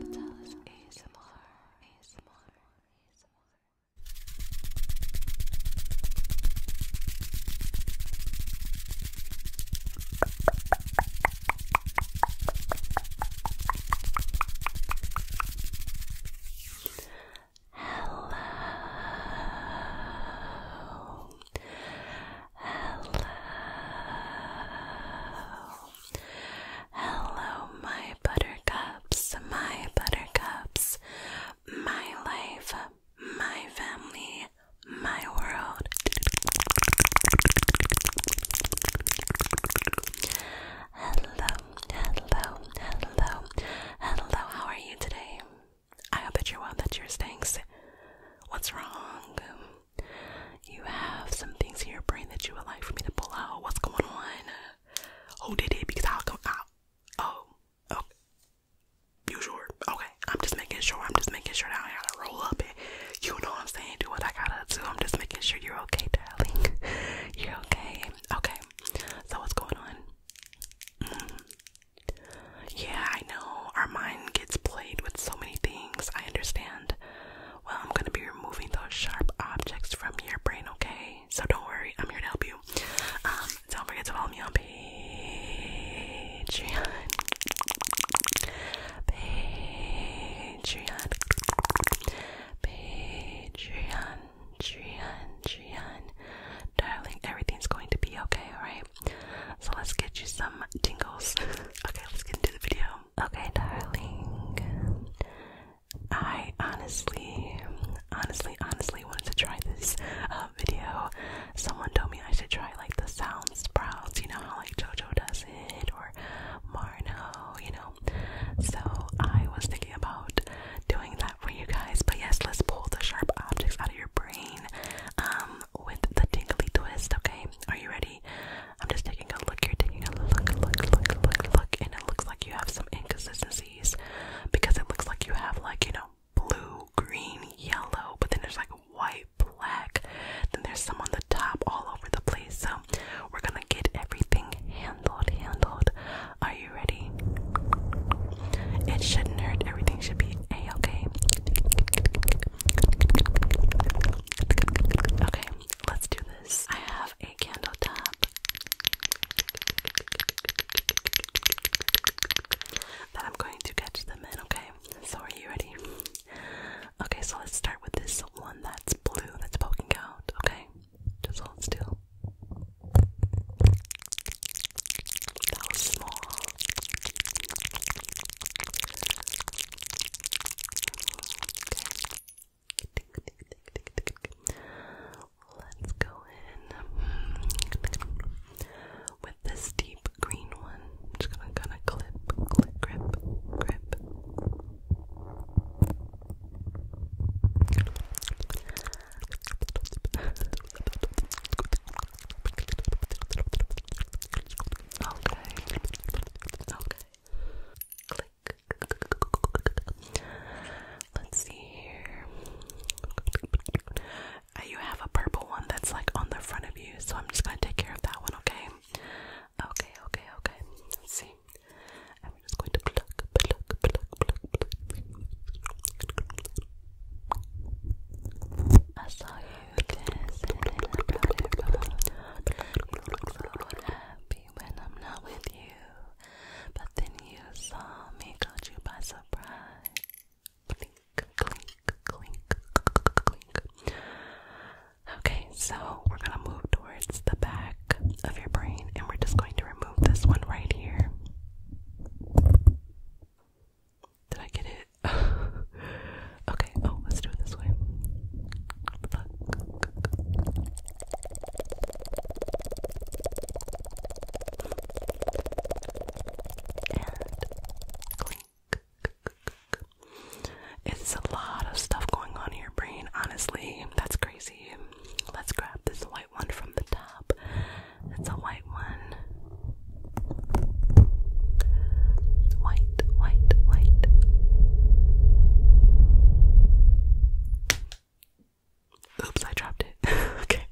Patalis ASMR ASMR ASMR Hello hello, hello, my buttercups, my buttercups, my life, my family, my world. Hello, hello, hello, hello. How are you today? I hope that you're well, that you're stinks. What's wrong? you have some things in your brain that you would like for me to pull out. What's going on? Who did it? Because I'll come out. Oh, oh. You sure? Okay. I'm just making sure. I'm just making sure that I gotta roll up it. You know what I'm saying? Do what I gotta do. I'm just making sure you're okay, darling. you're okay. Okay. So what's going on? Mm-hmm. Yeah, I know. Our mind gets played with so many things. I understand. Well, I'm going to be removing those sharp objects from your brain, okay? So don't worry. I'm here to help you. Um, don't forget to follow me on Patreon. Patreon. Patreon. Patreon. Patreon. Darling, everything's going to be okay, alright? so let's get you some tingles. okay, let's get into the video. Okay, darling. I honestly, honestly, honestly wanted to try this uh, video. Someone told me I should try like the sound sprouts, you know how like JoJo does it, or Marno, you know. So I was thinking about doing that for you guys. But yes, let's pull the sharp objects out of your brain um, with the tingly twist, okay? Are you ready? I'm just taking a look. You're taking a look, look, look, look, look, and it looks like you have some inconsistencies because it looks like you have, like, you know, blue, green, yellow, but then there's like white, black, then there's some on the top all over the place. So we're gonna get everything handled, handled. Are you ready? It shouldn't hurt. Everything should be a okay. Okay, let's do this. I have a candle top that I'm going to catch them in, okay? So are you ready? Okay, so let's start with this one that's blue that's poking out, okay? Just hold still. That small. Let's go in with this deep green one. I'm just gonna kind of clip, clip, grip, grip. Okay. Okay. Click. Let's see here. You have a purple one that's like on the front of you, so I'm just gonna take care of that one, okay? Okay, okay, okay. Let's see. And we're just going to I saw you dancing and I brought it so happy when I'm not with you. But then you saw me, caught you by surprise. Okay, so we're gonna move towards the back of your brain and we're just going to remove this one right here. Did I get it? okay, oh, let's do it this way. It's a lot of stuff going on in your brain, honestly. That's crazy. Let's grab this white one from the top it's a white one. White, white, white. Oops, I dropped it. okay.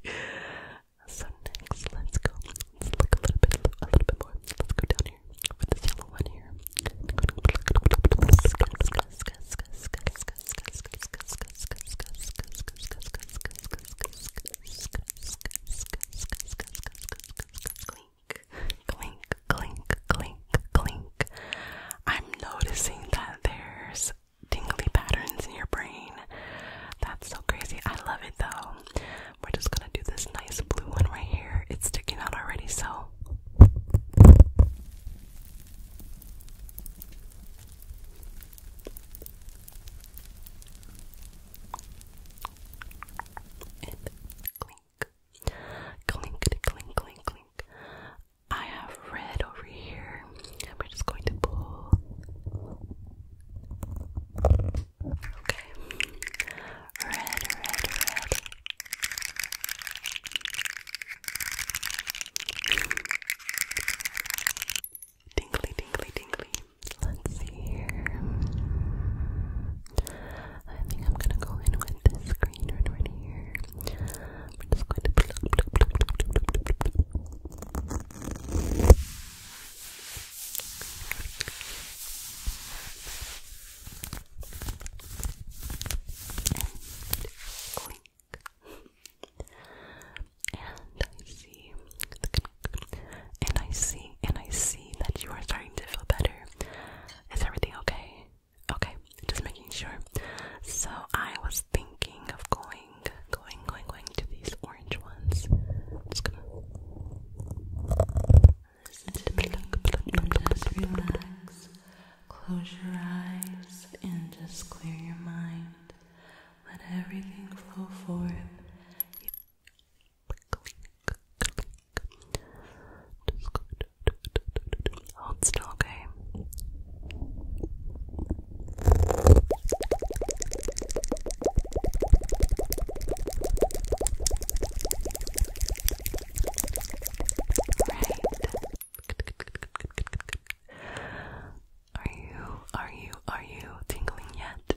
So next, let's go. Let's look a little bit, a little bit more. Let's go down here with this yellow one here clink, clink, clink, clink. I'm noticing that there's tingly patterns in your brain. That's so crazy. I love it though. We're just gonna do this nice blue one right here. It's sticking out already, so and clink. Clink, clink, clink, clink. I have red over here, and we're just going to pull. Okay. Red, red, red. Tingly, tingly, tingly. Let's see here. I think I'm gonna go in with this green one right here. I'm just going to and clink and I see, and I see, and I see that you are starting to feel better. Is everything okay? Okay, just making sure. So I was thinking of going, going, going, going to these orange ones. Just gonna. Just relax. Close your eyes and just clear your mind. Let everything flow forth. You Hold still, okay? Are you, are you, are you tingling yet?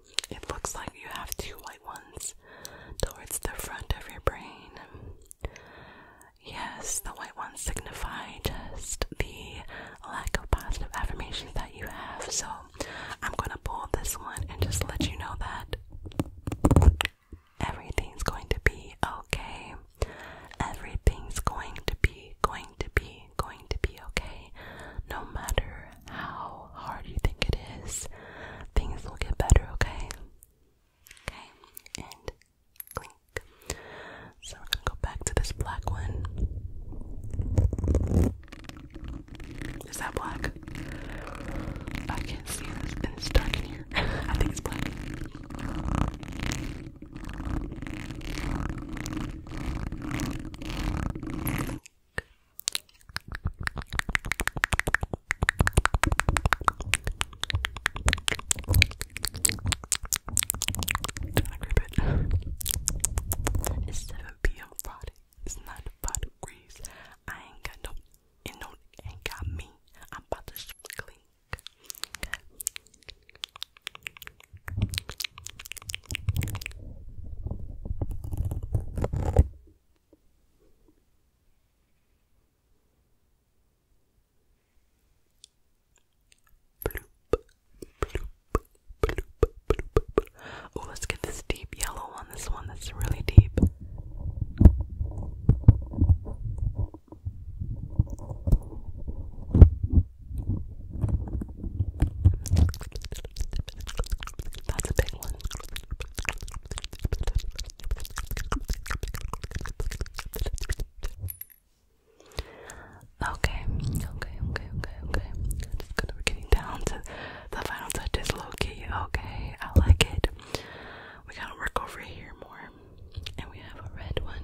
it looks like you have two white ones towards the front of your brain. Yes, the white ones signify just the lack of positive affirmations that you have. So I'm going to pull this one and just let you know that everything's going to be okay. Everything's going to be, going to be, going to be okay. No matter how hard you think it is, things will get better, okay? Okay, So we're gonna go back to this black one. Is that black? I can't see this, and it's dark in here. I think it's black. Trying to it's 7 p.m. Friday. It's 95 degrees. I ain't got no, it no, ain't got me. I'm about to sh Bloop, bloop, bloop, bloop. Oh, let's get this deep yellow on this one that's really deep. That's a big one. Okay, okay, okay, okay, okay. Just gonna, we getting down to the final touches, low key. Okay, I like it. We gotta work over here more. And we have a red one.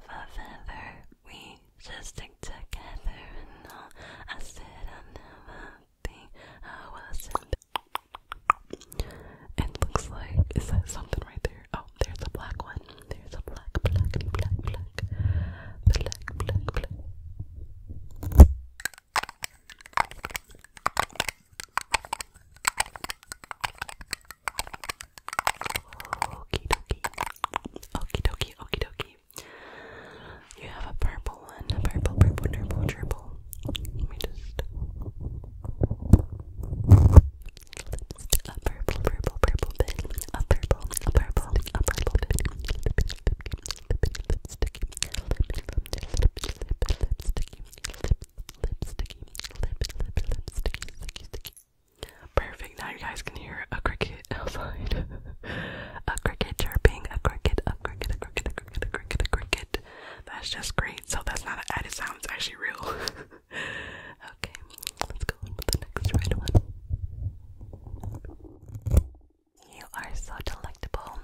love ever. We just stick together and I said I'll never be. I was and It looks like is that something right there? Oh, there's a black one. There's a black, black, black, black, black, black, black. Okie dokie. Okie dokie, okie dokie. You have a purple one, a purple, purple, purple, purple. Let me just. A purple, purple, purple bit. A purple, a purple, a purple bit. Lipsticky, lipsticky, lip, lip, lipsticky, lip, lip, lipsticky, sticky, sticky, sticky, Perfect. Now you guys can hear a cricket outside. a cricket chirping, a cricket, a cricket, a cricket, a cricket, a cricket, a cricket. That's just great. So that's not an added sound, it's actually real. okay, let's go on with the next red one. You are so delectable.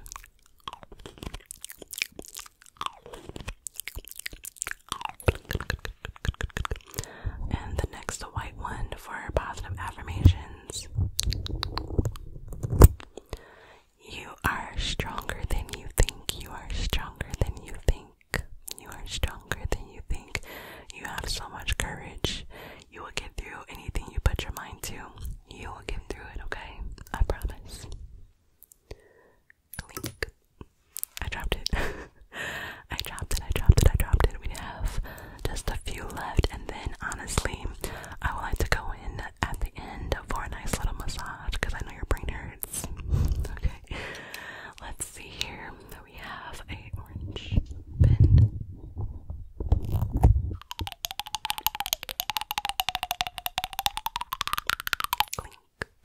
And the next, the white one for positive affirmations. You are stronger than you think. You are stronger than you think. You are stronger than you think. You have so much courage. You will get through anything you put your mind to. You will get through it, okay? I promise. I dropped it. I dropped it, I dropped it, I dropped it. We have just a few left, and then honestly, I would like to go in at the end for a nice little massage because I know your brain hurts. okay, let's see here. We have a orange pin. Scrubbing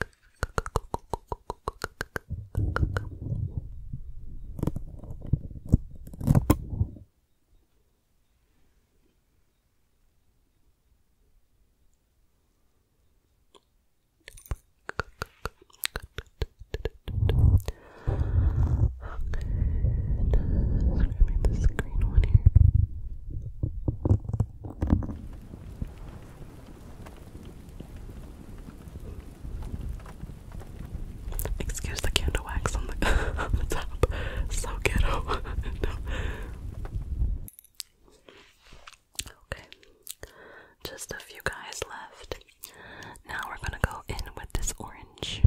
this green one here. Excuse the candle wax on the, on the top. So ghetto. Okay. Just a few guys left. Now we're gonna go in with this orange.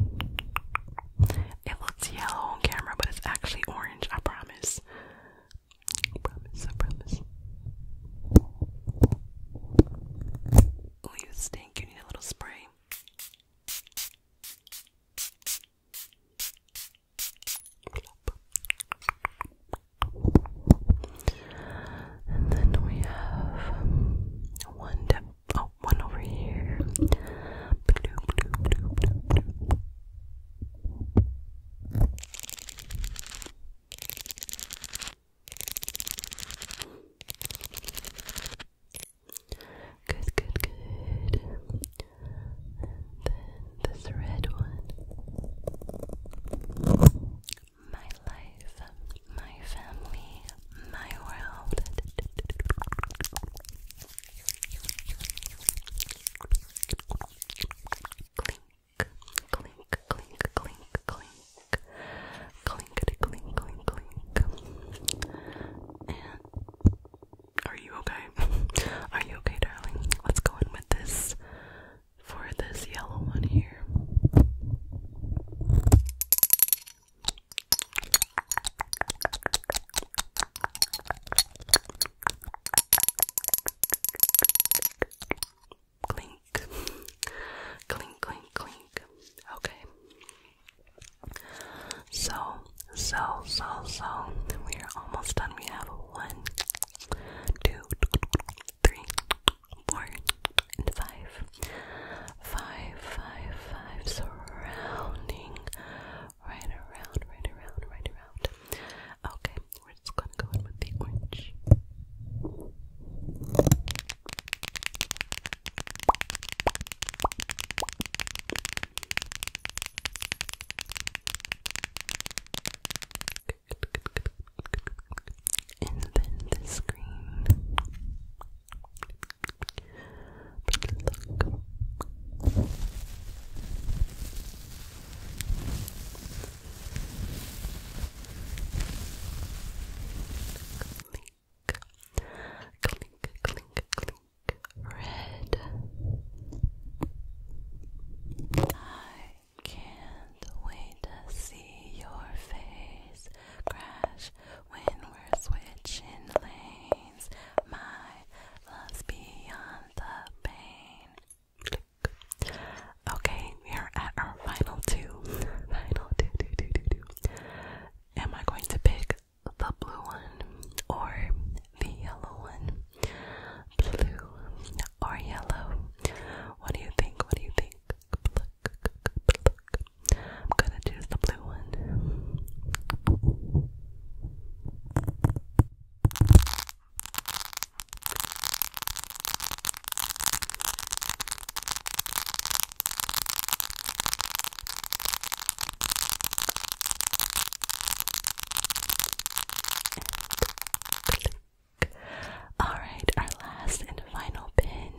It looks yellow on camera, but it's actually orange, I promise. I promise, I promise. Oh, you stink. You need a little spray. And then we have um, one oh, one over here. Good, good, good. this red one. My life, my family, my world clink, clink, clink, clink, clinkety, clink, clink, clink. And are you okay? Are you okay, darling? Let's go in with this for this yellow one here clink, clink, clink, clink. Okay. So, so, so, so, we are almost done. We have one, two, three, four, and five. Five, five, five, surrounding, right around, right around, right around. Okay, we're just gonna go in with the orange. And then this green. look. Red. I can't wait to see your face crash when we're switching lanes. My love's beyond the pain. Okay, we are at our final two. Final two, two, two, two, two. Am I going to pick the blue one or the yellow one? Blue or yellow? What do you think? What do you think? I'm gonna choose the blue one. Alright, our last and final pin.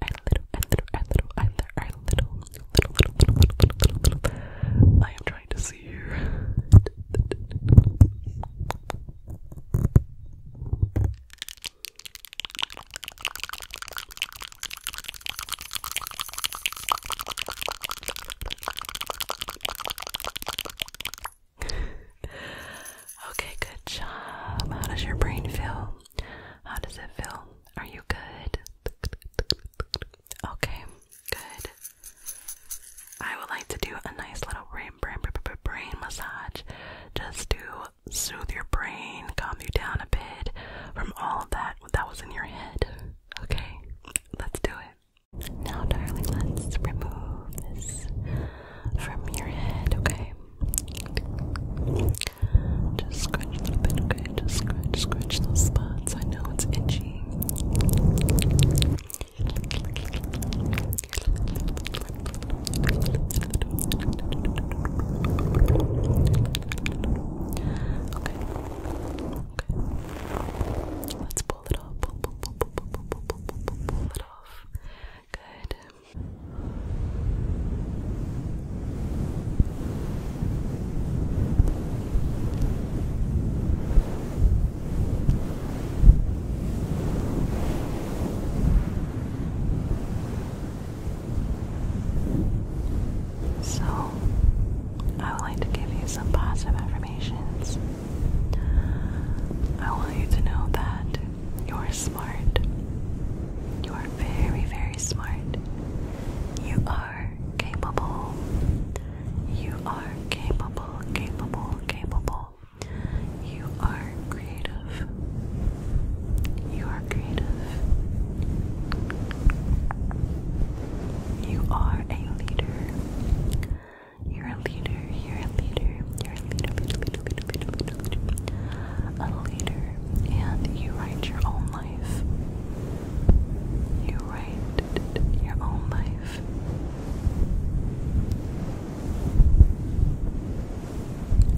Our little, our little, our little, our little, little, little, little, little, little, little. I am trying to see here okay, good job. How does your brain feel? How does it feel? Are you good? Okay, good. I would like to do a nice little brain, brain, brain, brain massage just to soothe your brain, calm you down a bit from all of that that was in your head. Okay, let's do it. Now, darling, let's remove this from your head, okay? Just scratch a little bit, okay? Just scratch, scratch those spots. I know it's itchy. Okay. Okay. Let's pull it off. Pull, pull, pull, pull, pull, pull, pull, pull, pull it off. Good. Okay. So, I would like to give you some positive affirmations. I want you to know that you are smart. You are very, very smart. You are capable. You are capable, capable, capable. You are creative. You are creative. You are a leader. You're a leader. You're a leader. You're a leader. A leader. And you write your own life. You write your own life.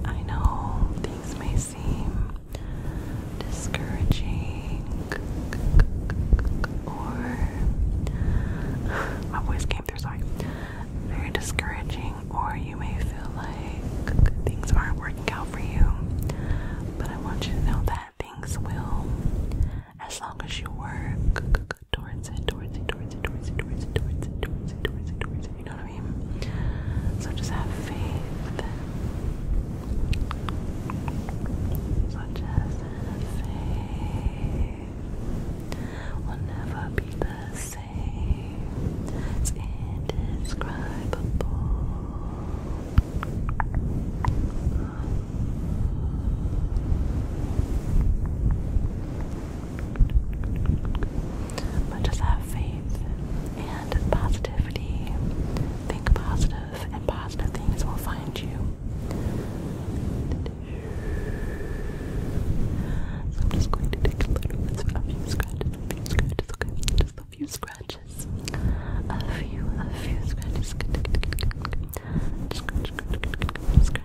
I know things may seem discouraging or my voice came through sorry very discouraging or you may feel like things aren't working out for you but I want you to know that things will as long as you work look towards it, towards it, towards it, towards it, towards it, towards it, towards it, towards it, towards it. You know what I mean? So just have faith. So just have faith. We'll never be the same. It's indescribable. But just have faith and positivity. Think positive, and positive things will find you. So I'm just going to take a little bit of a few scratches, a few scratches, Just a few scratches. A few, a few scratches. Scratch, scratch, scratch,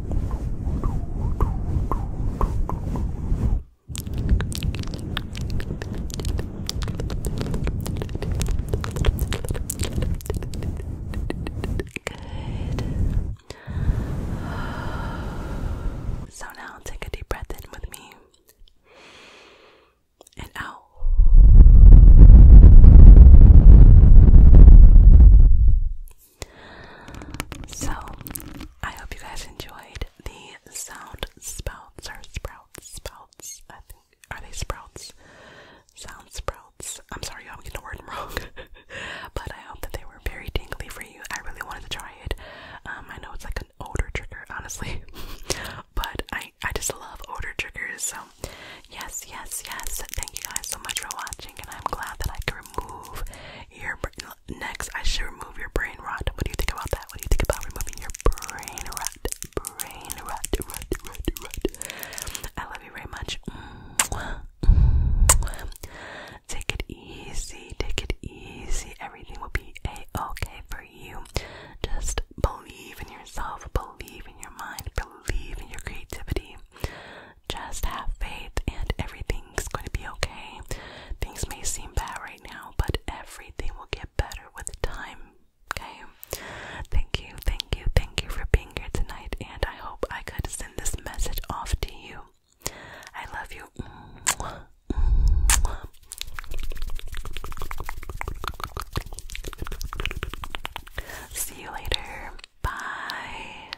So now take a deep breath in with me and out. So, I hope you guys enjoyed the sound spouts or sprouts, spouts, I think. Are they sprouts? Sound sprouts. I'm sorry, I'm getting the word wrong. but I hope that they were very tingly for you. I really wanted to try it. Um, I know it's like an odor trigger, honestly. but I, I just love odor triggers. So, yes, yes, yes. Thank you guys so much for watching. And I'm glad that I could remove your next I should remove your brain rot. What do you think about that? What do you think about removing your brain rot? Brain rot, rot, rot, rot. I love you very much. Take it easy, take it easy. Everything will be a okay for you. Just believe in yourself, believe in your mind, believe in your creativity. Just have faith and everything's going to be okay. Things may seem bad right now, but everything will get better with time. Okay? Thank you, thank you, thank you for being here tonight, and I hope I could send this message off to you. I love you. See you later. Bye.